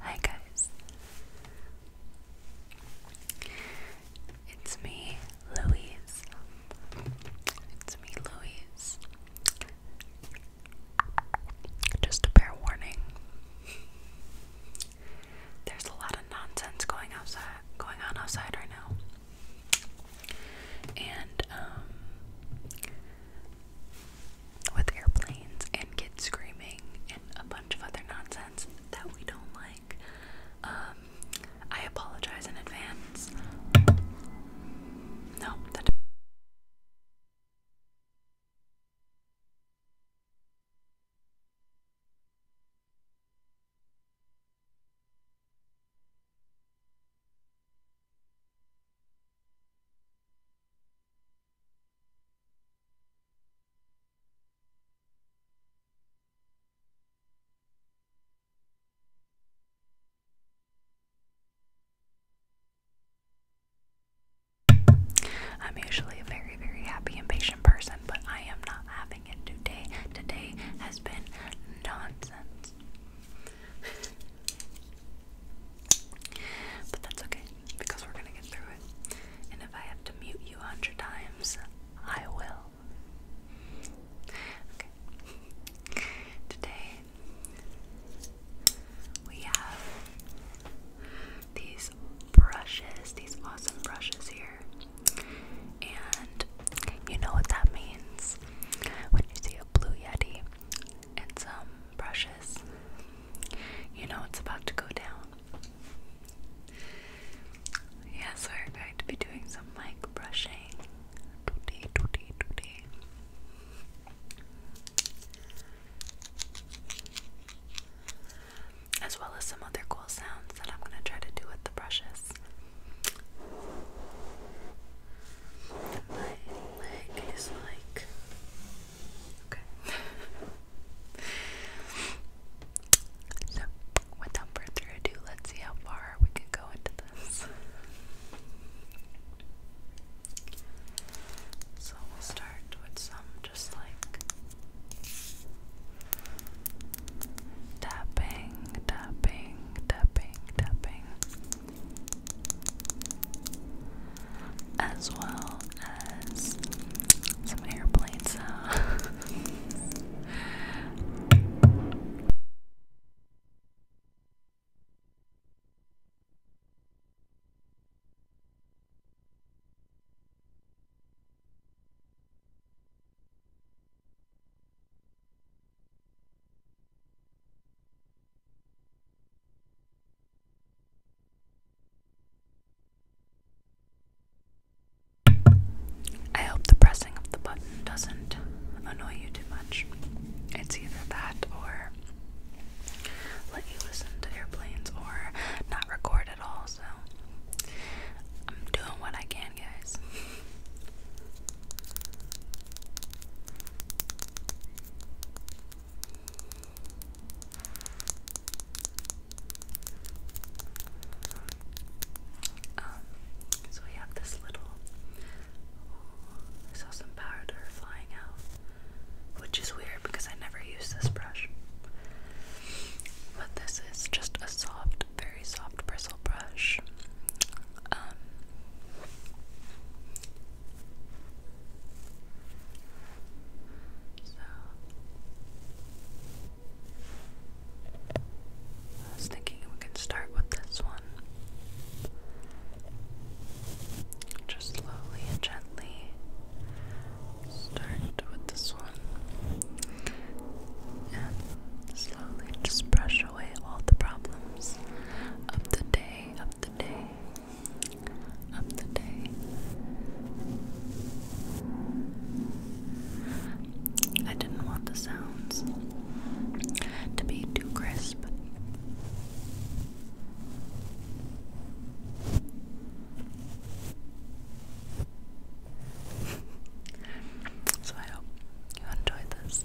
Hi guys. It's me, Louise. It's me, Louise. Just a bare warning. There's a lot of nonsense going outside going on outside right now and um, with airplanes and kids screaming and a bunch of other nonsense that we don't like. Um, I apologize in advance. No, that. I'm usually a very, very happy and patient person, but I am not having it today. Today has been nonsense. but that's okay because we're gonna get through it. And if I have to mute you a hundred times, I will. Okay. Today we have these brushes, these awesome brushes here. And you know what that means when you see a blue yeti and some brushes, you know it's about to go down. Yes, we're going to be doing some mic brushing today, today, today. As well as some other cool sounds that I'm going to try to do with the brushes. My leg is like okay. so, without further ado, let's see how far we can go into this. So we'll start with some just like tapping, tapping, tapping, tapping, as well as some airplane sound. I hope the pressing of the button doesn't annoy you too much. It's either that or let you listen to airplanes or not record at all. So I'm doing what I can um, so we have this little. I saw some powder flying out, which is weird because I never use this brush. But this is just a soft very soft bristle brush. Um, so I was thinking we can start with this one. Just slowly and gently start with this one and slowly just brush away all the problems of the day, of the day, of the day. I didn't want the sounds to be too crisp so I hope you enjoyed this.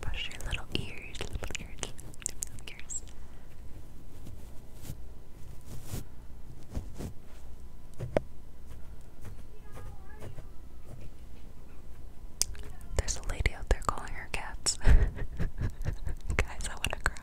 Brush your little ears, little ears, little ears. There's a lady out there calling her cats. Guys, I want to cry.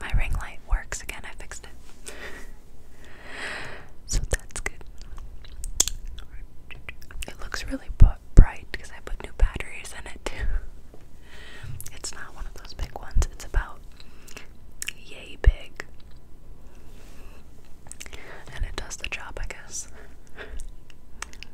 My ring light works again, I fixed it. so that's good. It looks really bright because I put new batteries in it It's not one of those big ones, it's about yay big. And it does the job, I guess.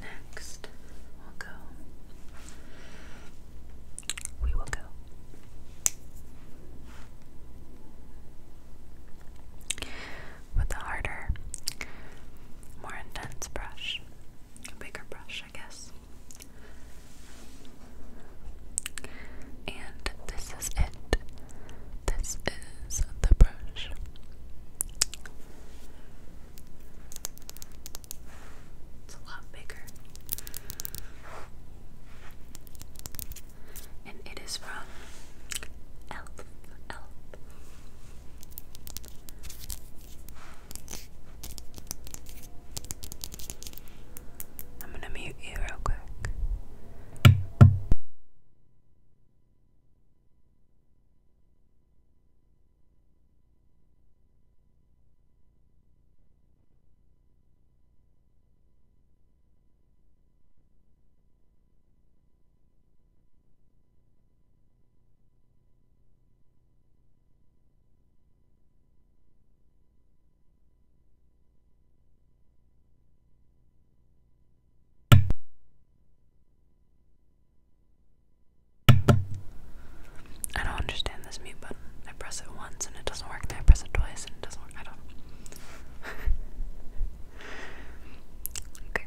Next, we'll go. We will go. With a harder, more intense brush, a bigger brush, I guess, and this is it. This is the brush. It's a lot bigger. And it is from Elf. Elf. I'm gonna mute you real quick. I don't understand this mute button. I press it once and it doesn't work, then I press it twice and it doesn't work. I don't. okay.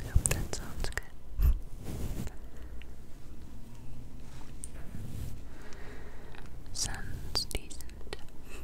I hope that sounds good. Sounds decent.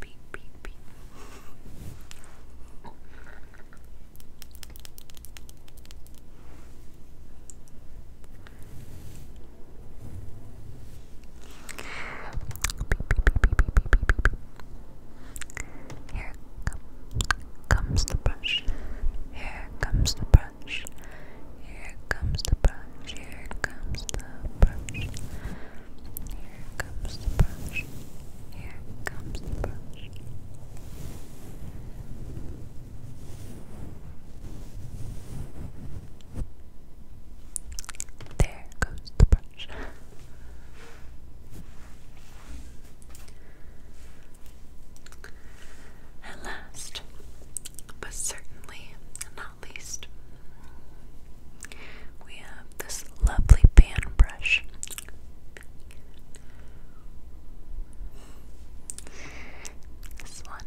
Beep, beep, beep. Here comes the brush. Here comes the brush. Here comes the brush. Here comes the brush. Here comes the brush. Here comes the brush. There goes the brush. And last, but certainly not least, we have this lovely pan brush. This one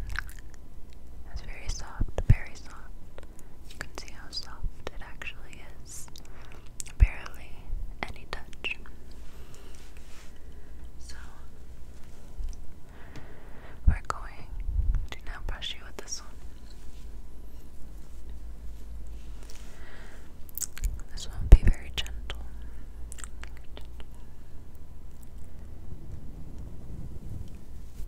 is very soft, very soft. You can see how soft it actually is. Barely any touch. So, we're going to now brush you with this one. This one will be Very gentle.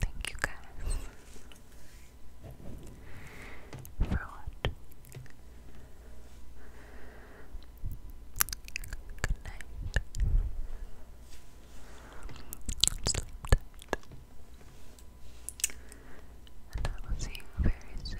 Thank you guys for watching. Good night. Sleep And I will see you very soon.